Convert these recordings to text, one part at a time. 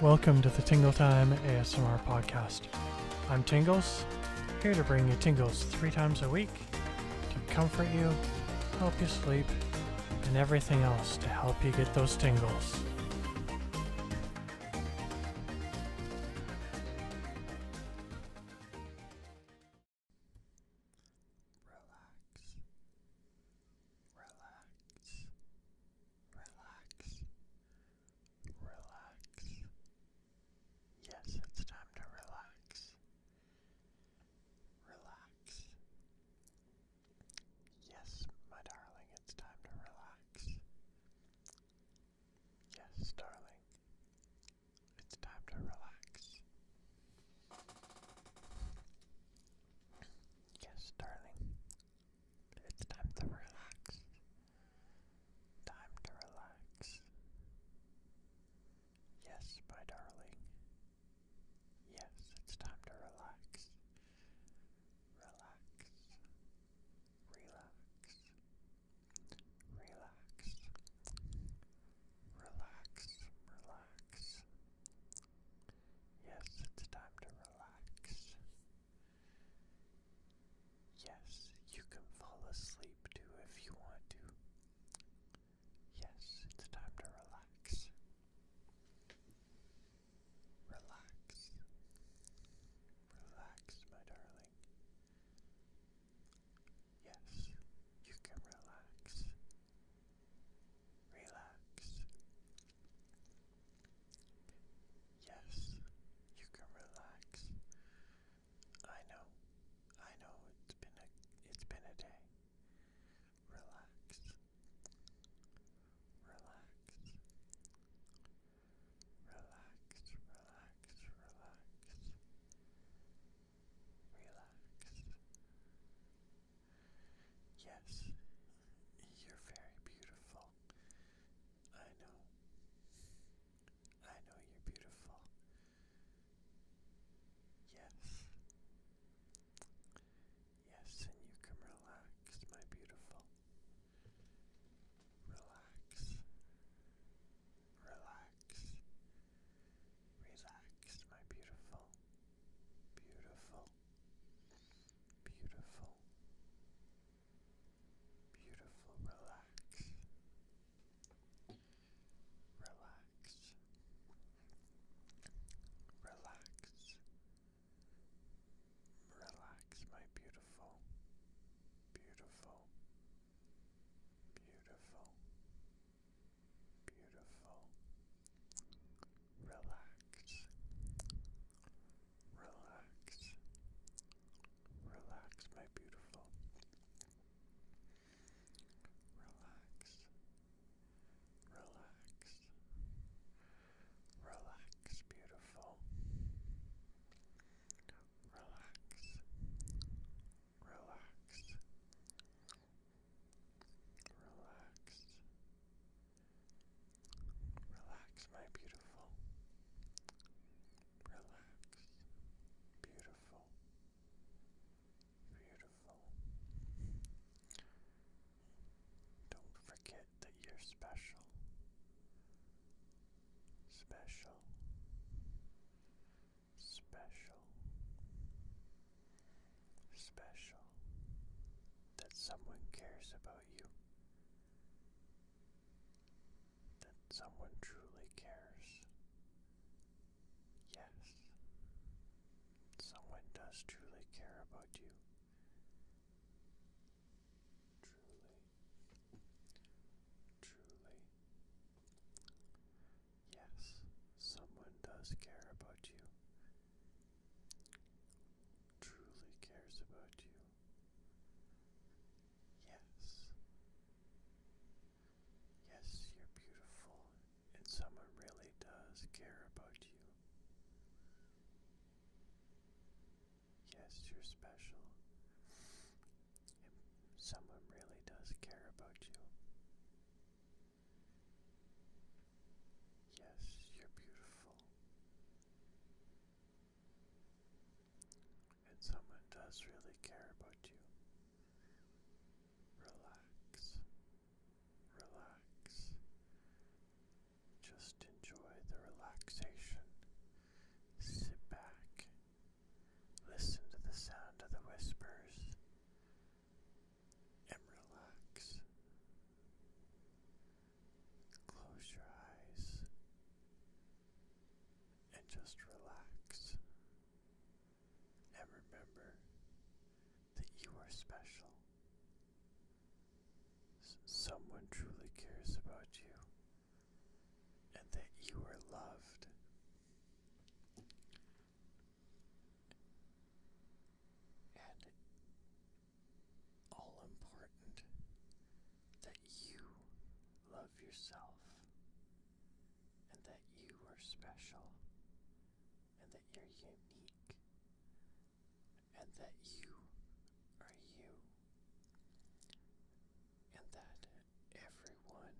Welcome to the Tingle Time ASMR podcast. I'm Tingles, here to bring you tingles three times a week to comfort you, help you sleep, and everything else to help you get those tingles relax, relax, relax, relax. Yes, it's time to relax. Relax. Yes, my darling, it's time to relax. Yes, darling, it's time to relax. Yes, darling. It's time to relax. Time to relax. Yes, my darling. Yes, it's time to relax. Relax. Relax. Relax. Relax. Relax. Yes, it's time to relax. Yes, you can fall asleep too if you want to. Yes, it's time to relax. Relax. Relax, my darling. Yes, you can relax relax. Yes, you can relax. I know, I know it's been a it's been a day. Relax. Relax. Relax, relax, relax. Relax. Yes, you're very beautiful. I know. I know you're beautiful. Yes. Yes, and you can relax, my beautiful. Relax. Relax. Relax, my beautiful beautiful, beautiful, beautiful. Relax, relax, relax, relax, my beautiful, beautiful, beautiful. Beautiful. Relax. Relax. Relax, my beautiful. Relax. Relax. Relax, beautiful. Relax. Relax. Relax. Relax, my beautiful. Relax. Beautiful. Beautiful. Don't forget that you're special. Special. Special special that someone cares about you, that someone truly cares. Yes, someone does truly care about you. Truly, truly, yes, someone does care about you, truly cares about you. Yes. Yes, you're beautiful, and someone really does care about you. Yes, you're special, and someone really does care about you. Yes, you're beautiful. And someone does really care about you. Relax. Relax. Just enjoy the relaxation. Sit back. Listen to the sound of the whispers and relax. Close your eyes and just relax. And remember that you are special. someone truly cares about you and that you are loved and all important that you love yourself and that you are special and that you're unique and that you are you and that everyone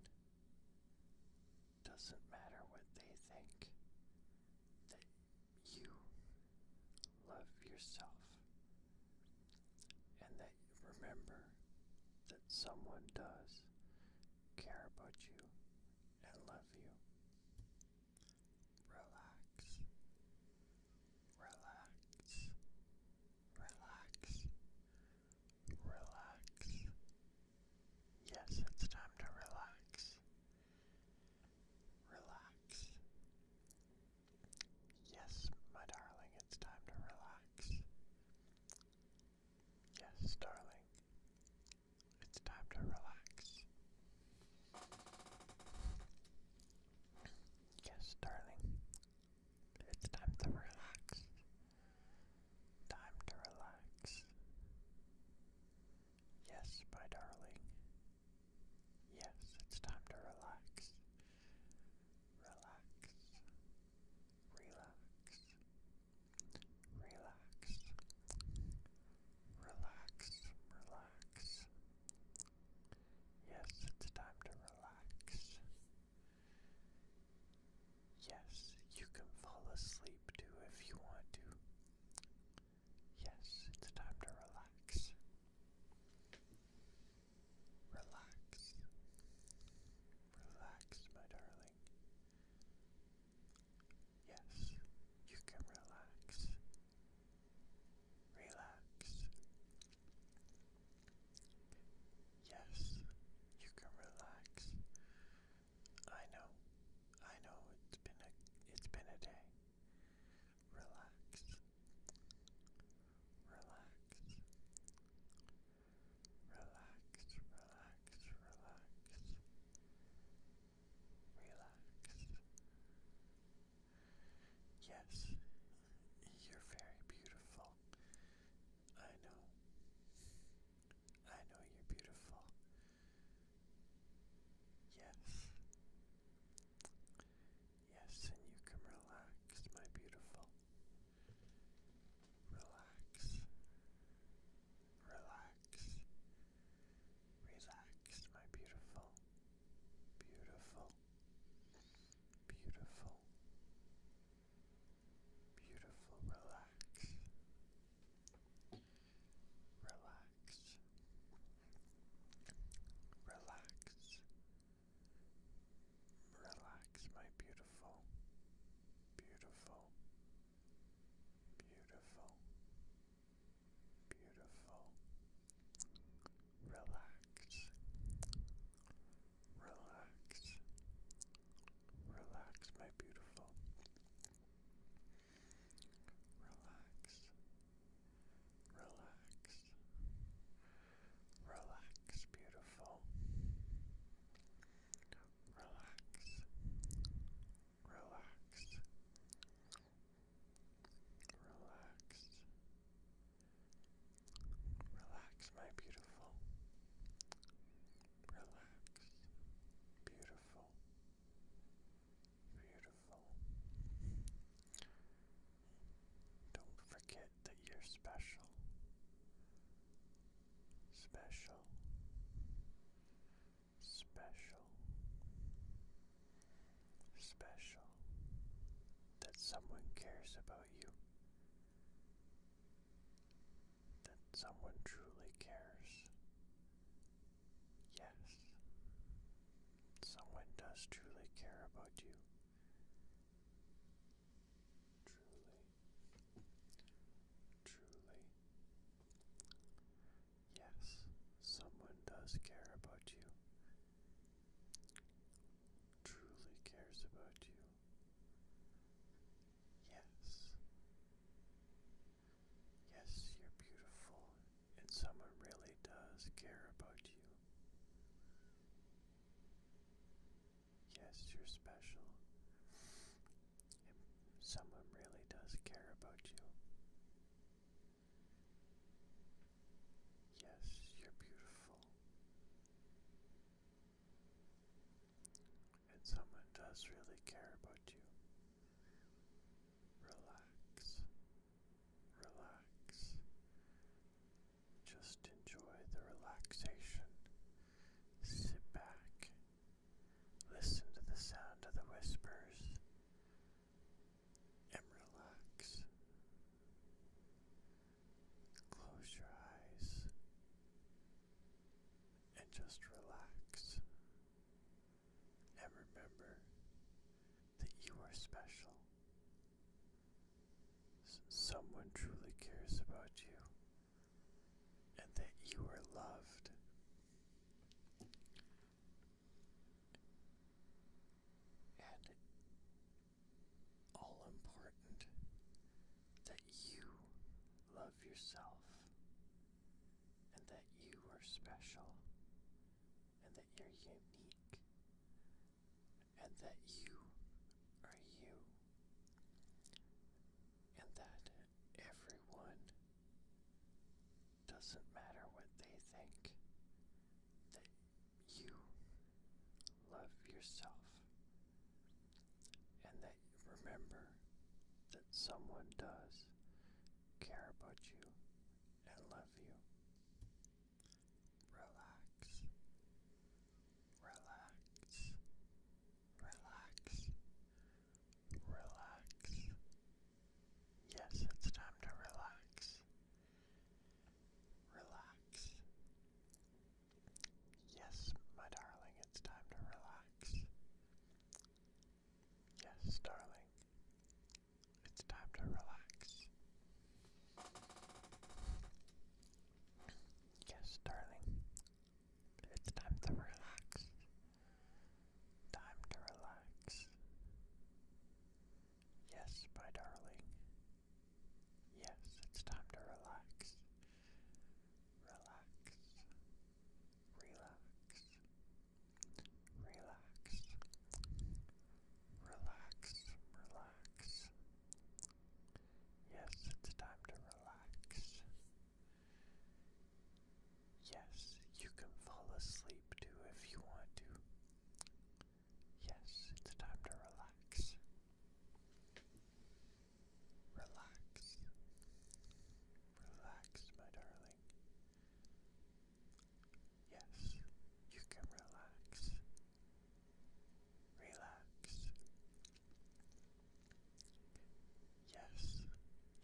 doesn't matter what they think, that you love yourself. And that remember that someone does care about you and love you. Relax, relax, relax, relax, Yes, it's time to relax. Relax. Yes, my darling, it's time to relax. Yes, darling, it's time to relax. Yes, darling, it's time to relax. Time to relax. Yes, my darling. Yes, it's time to relax. Relax. Relax. Relax. Relax. Relax. Yes, it's time to relax. Yes, you can fall asleep too if you want to. Yes, it's time to relax. Relax. Relax, my darling. Yes, you can relax. Relax. Yes, you can relax. I know, I know it's been a it's been a day. Relax. Relax. Relax, relax, relax. Relax. Yes, you're very beautiful. I know. I know you're beautiful. Yes. Yes, and you can relax, my beautiful. Relax. Relax. Relax, my beautiful. Beautiful. Beautiful. Beautiful. Relax. Relax. Relax. Relax, my beautiful, beautiful, beautiful, beautiful. Relax. Relax. Relax, my beautiful. Relax. Relax. Relax, beautiful. Relax. Relax. Relax. Relax, my beautiful relax, beautiful, beautiful. Don't forget that you're special, special, special, special. That someone cares about you that someone truly cares. Yes, someone does truly care about you. Truly, truly. Yes, someone does care about you. Truly cares about you. Yes. Yes, you're beautiful, and someone really does care about you. Yes, you're special, and someone really does care about you. Yes, you're beautiful and someone does really care about you, relax, relax. Just enjoy the relaxation. Sit back, listen to the sound of the whispers, and relax. Close your eyes and just relax. And remember that you are special. someone truly cares about you and that you are loved. And all important that you love love yourself and that you are special and that you're unique and that you are you and that everyone doesn't matter what they think that you love yourself and that you remember that someone does care about you and love you. Relax, relax, relax, relax. Yes, it's time to relax. Relax, Yes, my darling, it's time to relax. Yes, darling, it's time to relax. Yes, darling, it's time to relax. Time to relax. Yes, my darling. Yes, it's time to relax relax, relax, relax, relax, relax. Yes, it's time to relax. Yes, you can fall asleep too if you want to. Yes, it's time to relax. Relax. Relax, my darling. Yes, you can relax. Relax. Yes,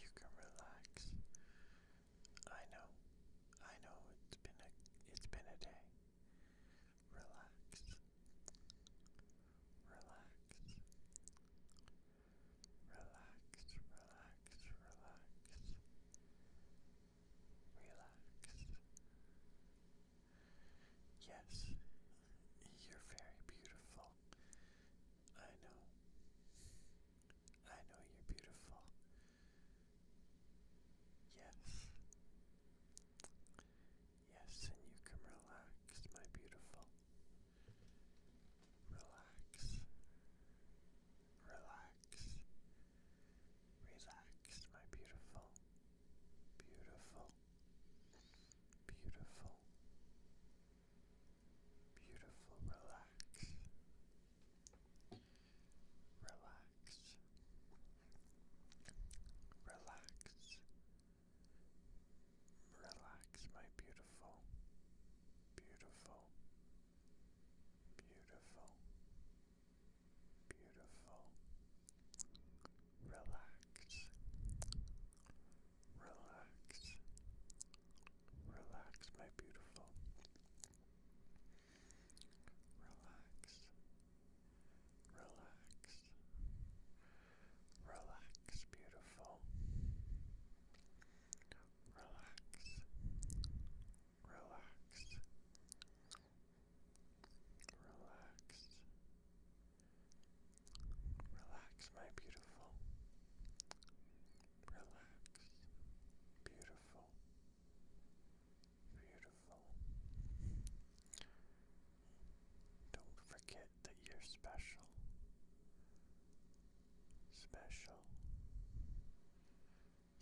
you can relax. I know. I know it's been a it's been a day. Relax relax, relax, relax, relax, relax. Yes, you're very beautiful. I know. I know you're beautiful. Yes. Yes, and you can relax, my beautiful. Relax. Relax. Relax, my beautiful. Beautiful. Beautiful. Beautiful. Relax. Relax. Relax. Relax, my beautiful, beautiful, beautiful, beautiful. Relax, relax, relax, my beautiful. Relax, relax, Relax, beautiful. Relax. Relax. Relax. Relax, my beautiful. Relax. Beautiful. Beautiful. Don't forget that you're special. Special.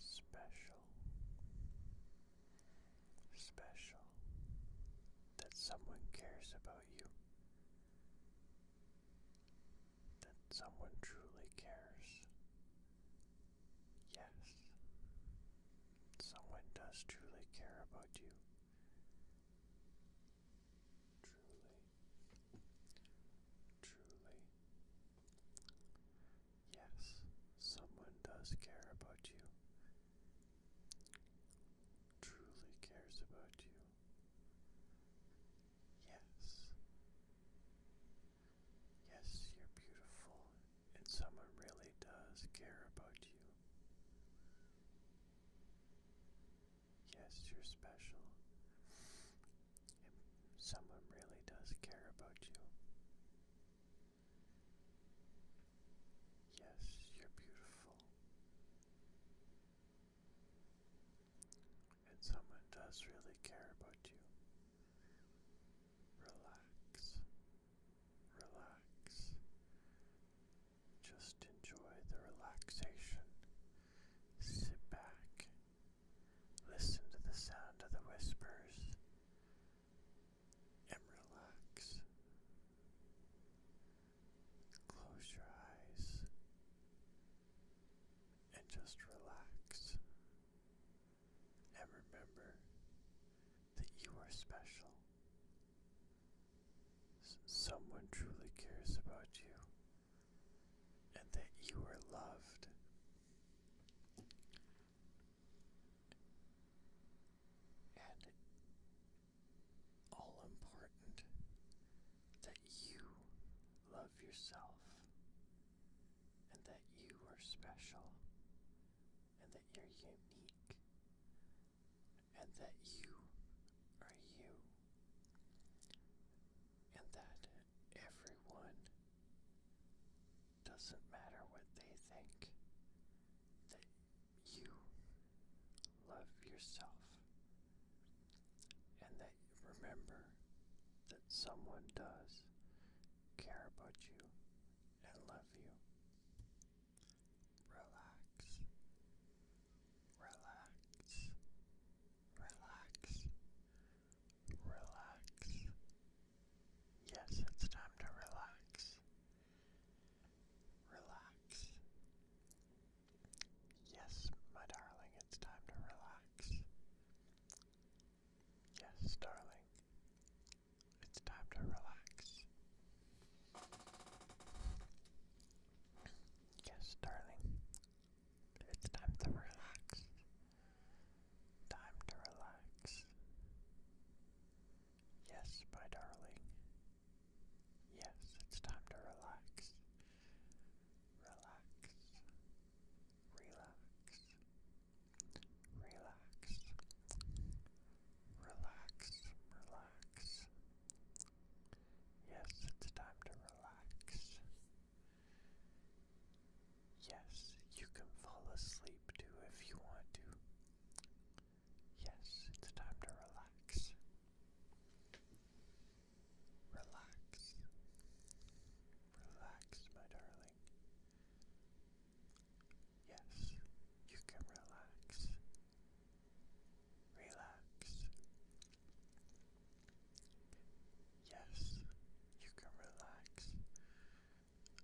Special. Special. That someone cares about you. That someone truly cares. Yes. Someone does truly care about you truly, truly. Yes, someone does care about you. Truly cares about you. Yes. Yes, you're beautiful, and someone really does care about you. Yes, you're special. And someone really does care about you. Yes, you're beautiful. And someone does really care about you. Relax, relax, just enjoy the relaxation. Sit back. Listen to the sound of the whispers and relax. Close your eyes and just relax. And remember that you are special someone truly cares about you and that you are loved. And all important that you love yourself and that you are special and that you're unique and that you are you, and that everyone doesn't matter what they think, that you love yourself, and that remember that someone does care about you and love you relax, relax, relax, relax. Yes, it's time to relax. Relax. Yes, my darling, it's time to relax. Yes, darling, it's time to relax. Yes, darling. It's time to relax. Time to relax. Yes, my darling. Yes, it's time to relax. Relax. Relax. Relax. Relax, relax. Yes, it's time to relax. Yes, you can fall asleep too if you want to. Yes, it's time to relax. Relax. Relax, my darling. Yes, you can relax relax. Yes, you can relax.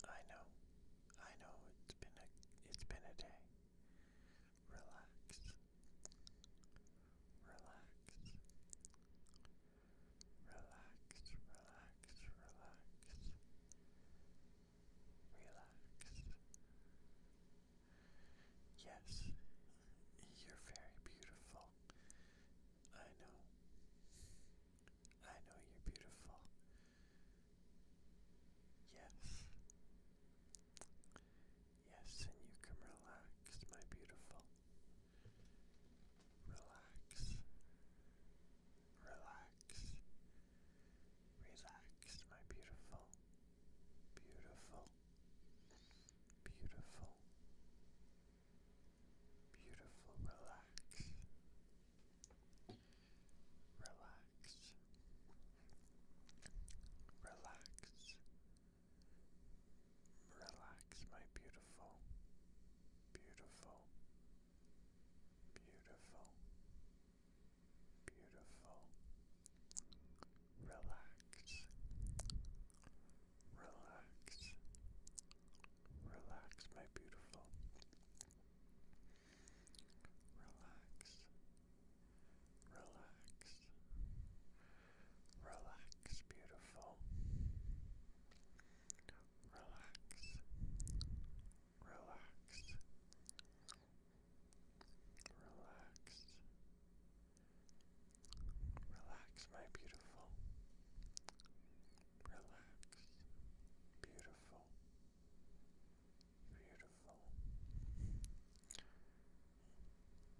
I know. I know it's been a it's been a day. Relax. Relax. Relax, relax, relax relax. Yes, you're very beautiful. I know. I know you're beautiful. Yes. Yes, and you can relax, my beautiful. Relax. Relax. Relax, my beautiful, beautiful, beautiful, beautiful, relax. Relax. Relax. Relax, my beautiful, beautiful, beautiful, beautiful. Relax, relax, relax, my beautiful. Relax, relax, relax, beautiful. Relax, relax, Relax. Relax, my beautiful. Relax. Beautiful. Beautiful.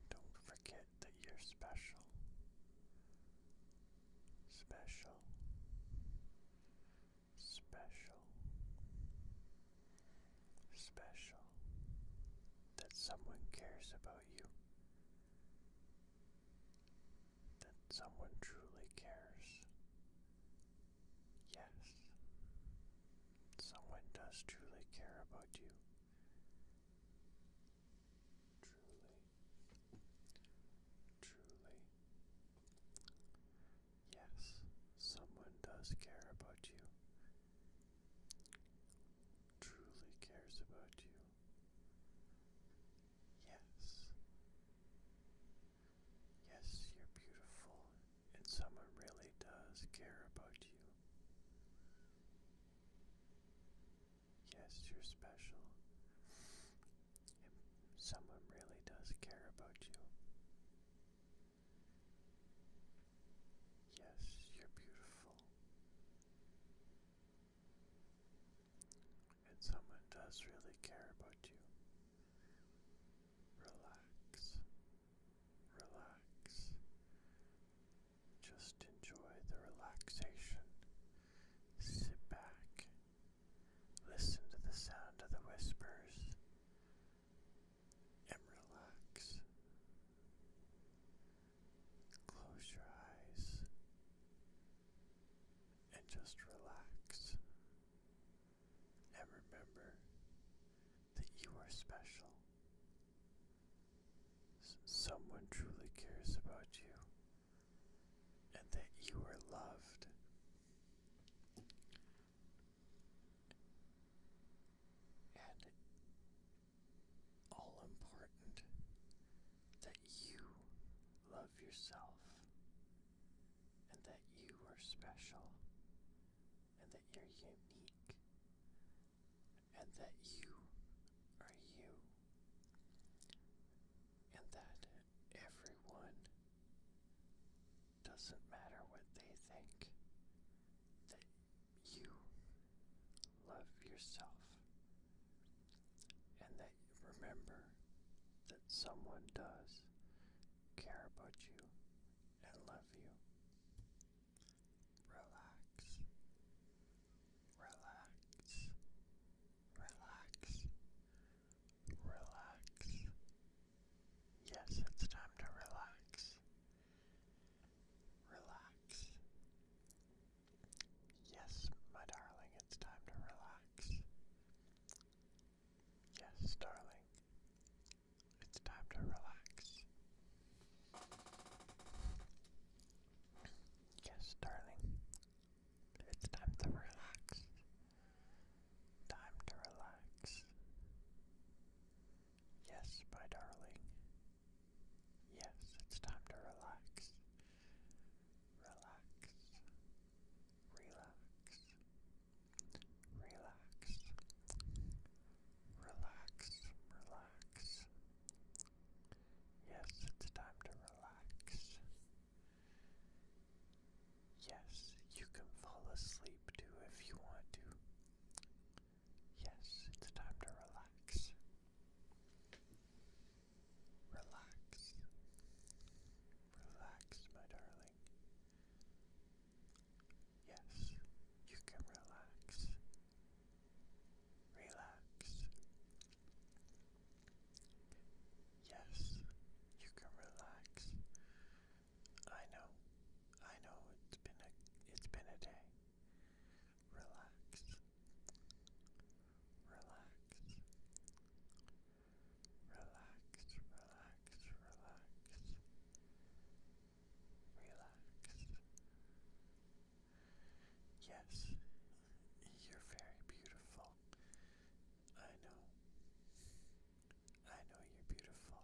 Don't forget that you're special. Special special, special that someone cares about you, that someone truly cares. Yes, someone does truly care about you. Truly, truly, Yes, someone does care about you. Truly cares about you. Yes. Yes, you're beautiful, and someone really does care about you. Yes, you're special, and someone really does care about you. Yes, you're beautiful. And someone does really care about you. Relax. Relax. Just enjoy the relaxation. Sit back. Listen to the sound of the whispers and relax. Close your eyes and just relax. And remember that you are special. someone truly cares about you and that you are loved and all important that you love yourself and that you are special and that you're unique and that you are you and that everyone doesn't matter what they think, that you love yourself. And that you remember that someone does care about you and love you. Relax. Relax. Relax relax. Yes, it's time to relax. Relax. Yes, my darling, it's time to relax. Yes, darling, it's time to relax. Yes, darling, it's time to relax. Time to relax. Yes, my darling. Yes, it's time to relax. Relax. Relax. Relax. Relax. Relax. Yes, it's time to relax. Yes, you can fall asleep too if you want to. Yes, it's time to relax. Relax. Relax, my darling. Yes, you can relax. Relax. Yes, you can relax. I know, I know it's been a it's been a day. Relax, relax, relax, relax, relax, relax. Yes, you're very beautiful. I know. I know you're beautiful.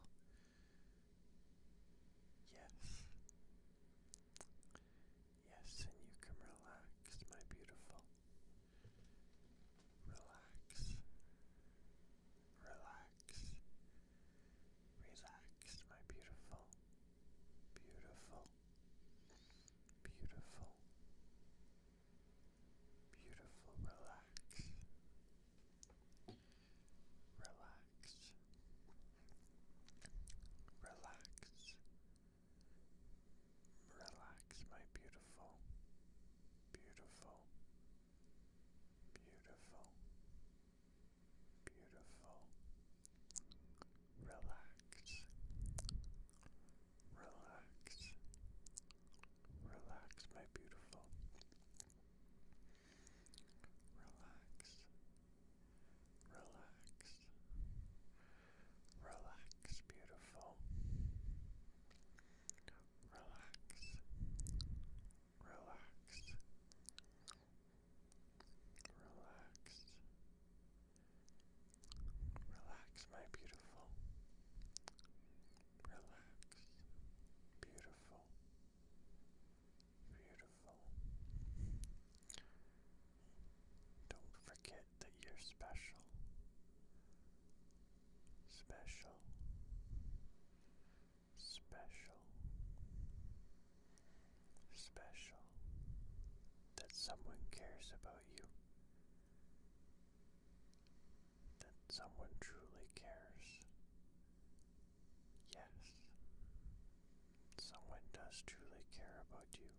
Yes. Yes, and you can relax, my beautiful. Relax. Relax. Relax, my beautiful. Beautiful. Beautiful. Beautiful, relax. Relax. Relax. Relax, my beautiful. Beautiful. Beautiful. Beautiful. Relax. Relax. Relax, my beautiful. Relax. Relax. Relax, beautiful. Relax. Relax. Relax. Relax, my beautiful relax, beautiful, beautiful. Don't forget that you're special, special, special, special. That someone cares about you that someone truly cares. Yes, someone does truly care about you.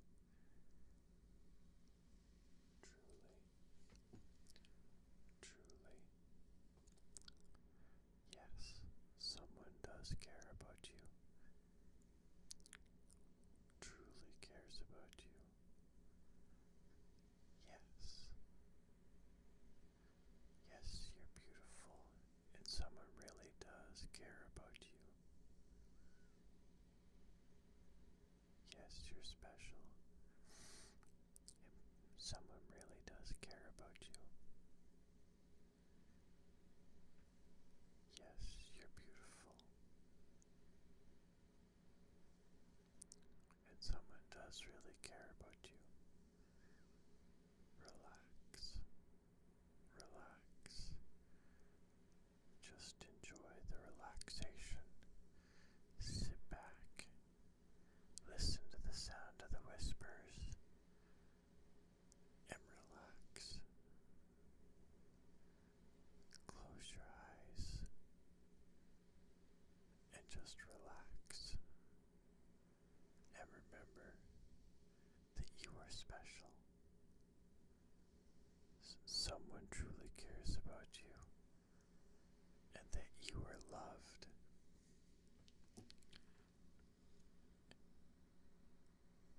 Truly, truly. Yes, someone does care about you. Truly cares about you. Yes. Yes, you're beautiful, and someone really does care about you. Yes, you're special, and someone really does care about you. Yes, you're beautiful and someone does really care about you, relax, relax. Just enjoy the relaxation. Sit back, listen to the sound of the whispers, and relax. Close your eyes and just relax. And remember that you are special. someone truly cares about you and that you are loved.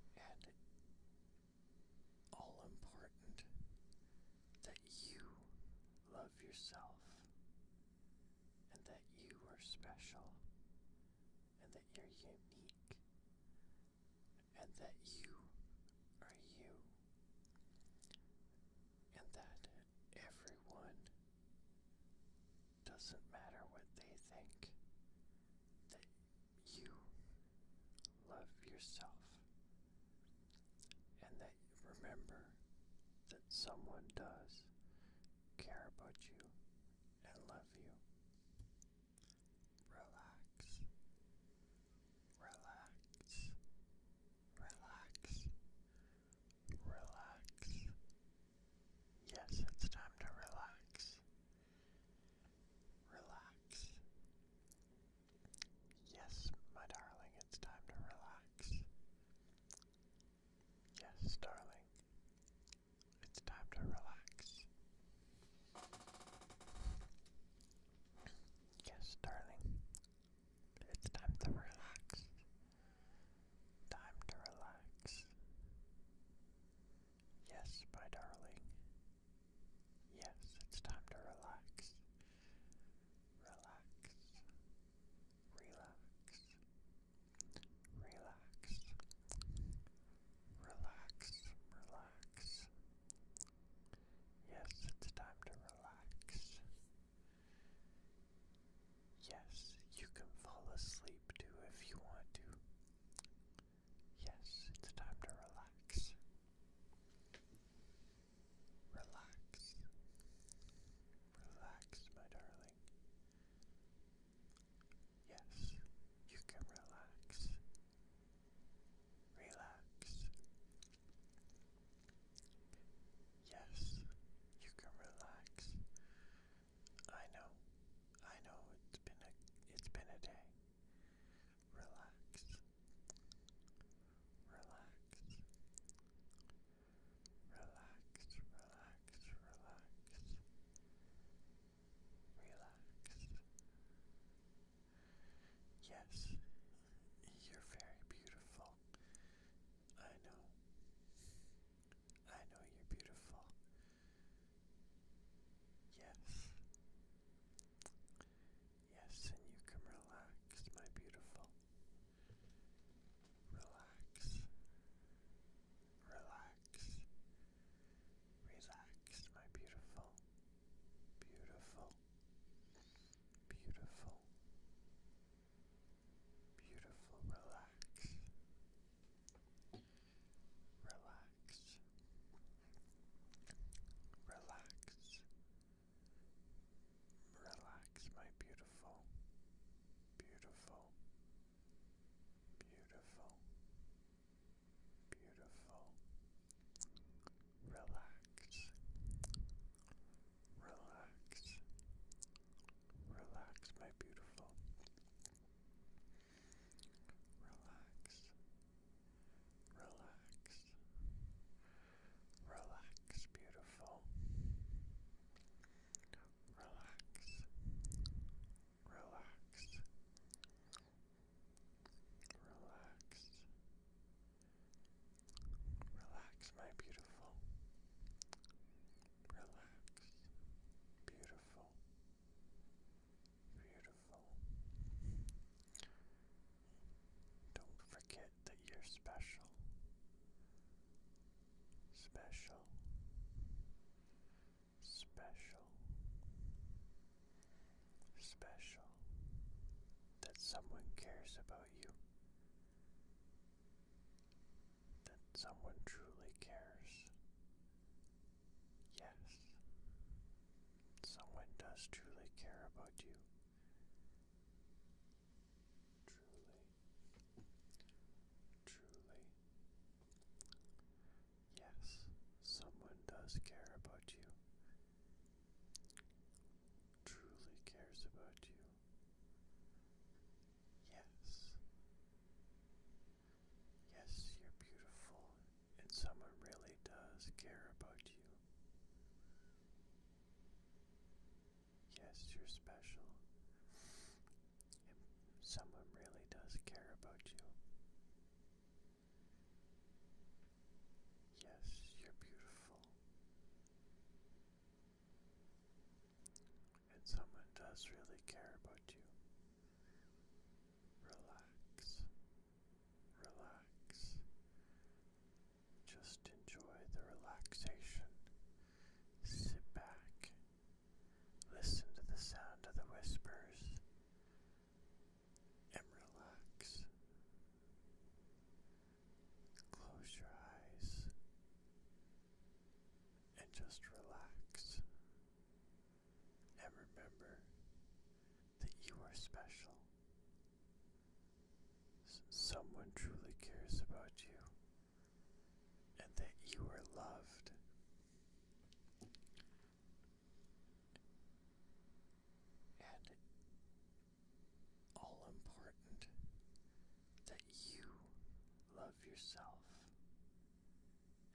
And all important that you love yourself and that you are special and that you're unique and that you are you and that everyone doesn't matter what they think that you love yourself and that remember that someone does care about you and love you. Relax, relax, relax, relax. Yes, it's time to relax. Relax, Yes, my darling, it's time to relax. Yes, darling, it's time to relax. Yes, darling, it's time to relax. Time to relax. Yes, my darling. Yes, it's time to relax relax, relax, relax, relax, relax. Yes, it's time to relax. Yes, you can fall asleep too if you want to. Yes, it's time to relax. Relax. Relax, my darling. Yes, you can relax. Relax. Yes, you can relax. I know. I know it's been a it's been a day relax, relax, relax, relax, relax. Relax. Yes, you're very beautiful. I know. I know you're beautiful. Yes. Yes, and you can relax, my beautiful. Relax. Relax. Relax, my beautiful. Beautiful. Beautiful. Beautiful. Relax. Relax. Relax. Relax, my beautiful, beautiful, beautiful, beautiful. Relax, relax, relax, my beautiful. Relax, relax, Relax. beautiful. Relax. Relax. Relax. Relax, my beautiful. Relax. Beautiful. Beautiful. Don't forget that you're special. Special. Special. Special. That someone cares about you. That someone truly cares. Yes. Someone does truly care about you. Truly, truly. Yes, someone does care about you. Truly cares about you. Yes. Yes, you're beautiful, and someone really does care about you. Yes, you're special. If someone really does care about you. Yes, you're beautiful. And someone does really care about you. Relax relax. Just enjoy the relaxation. Sit back. Listen to the sound of the whispers and relax. Close your eyes and just relax. And remember that you are special someone truly cares about you and that you are loved. And all important that you love yourself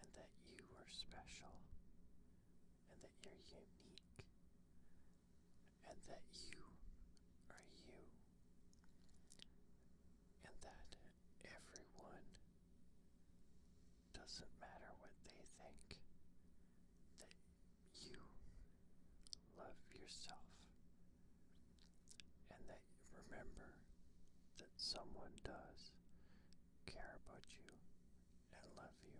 and that you are special and that you're unique and that you are you, and that everyone doesn't matter what they think, that you love yourself, and that remember that someone does care about you and love you.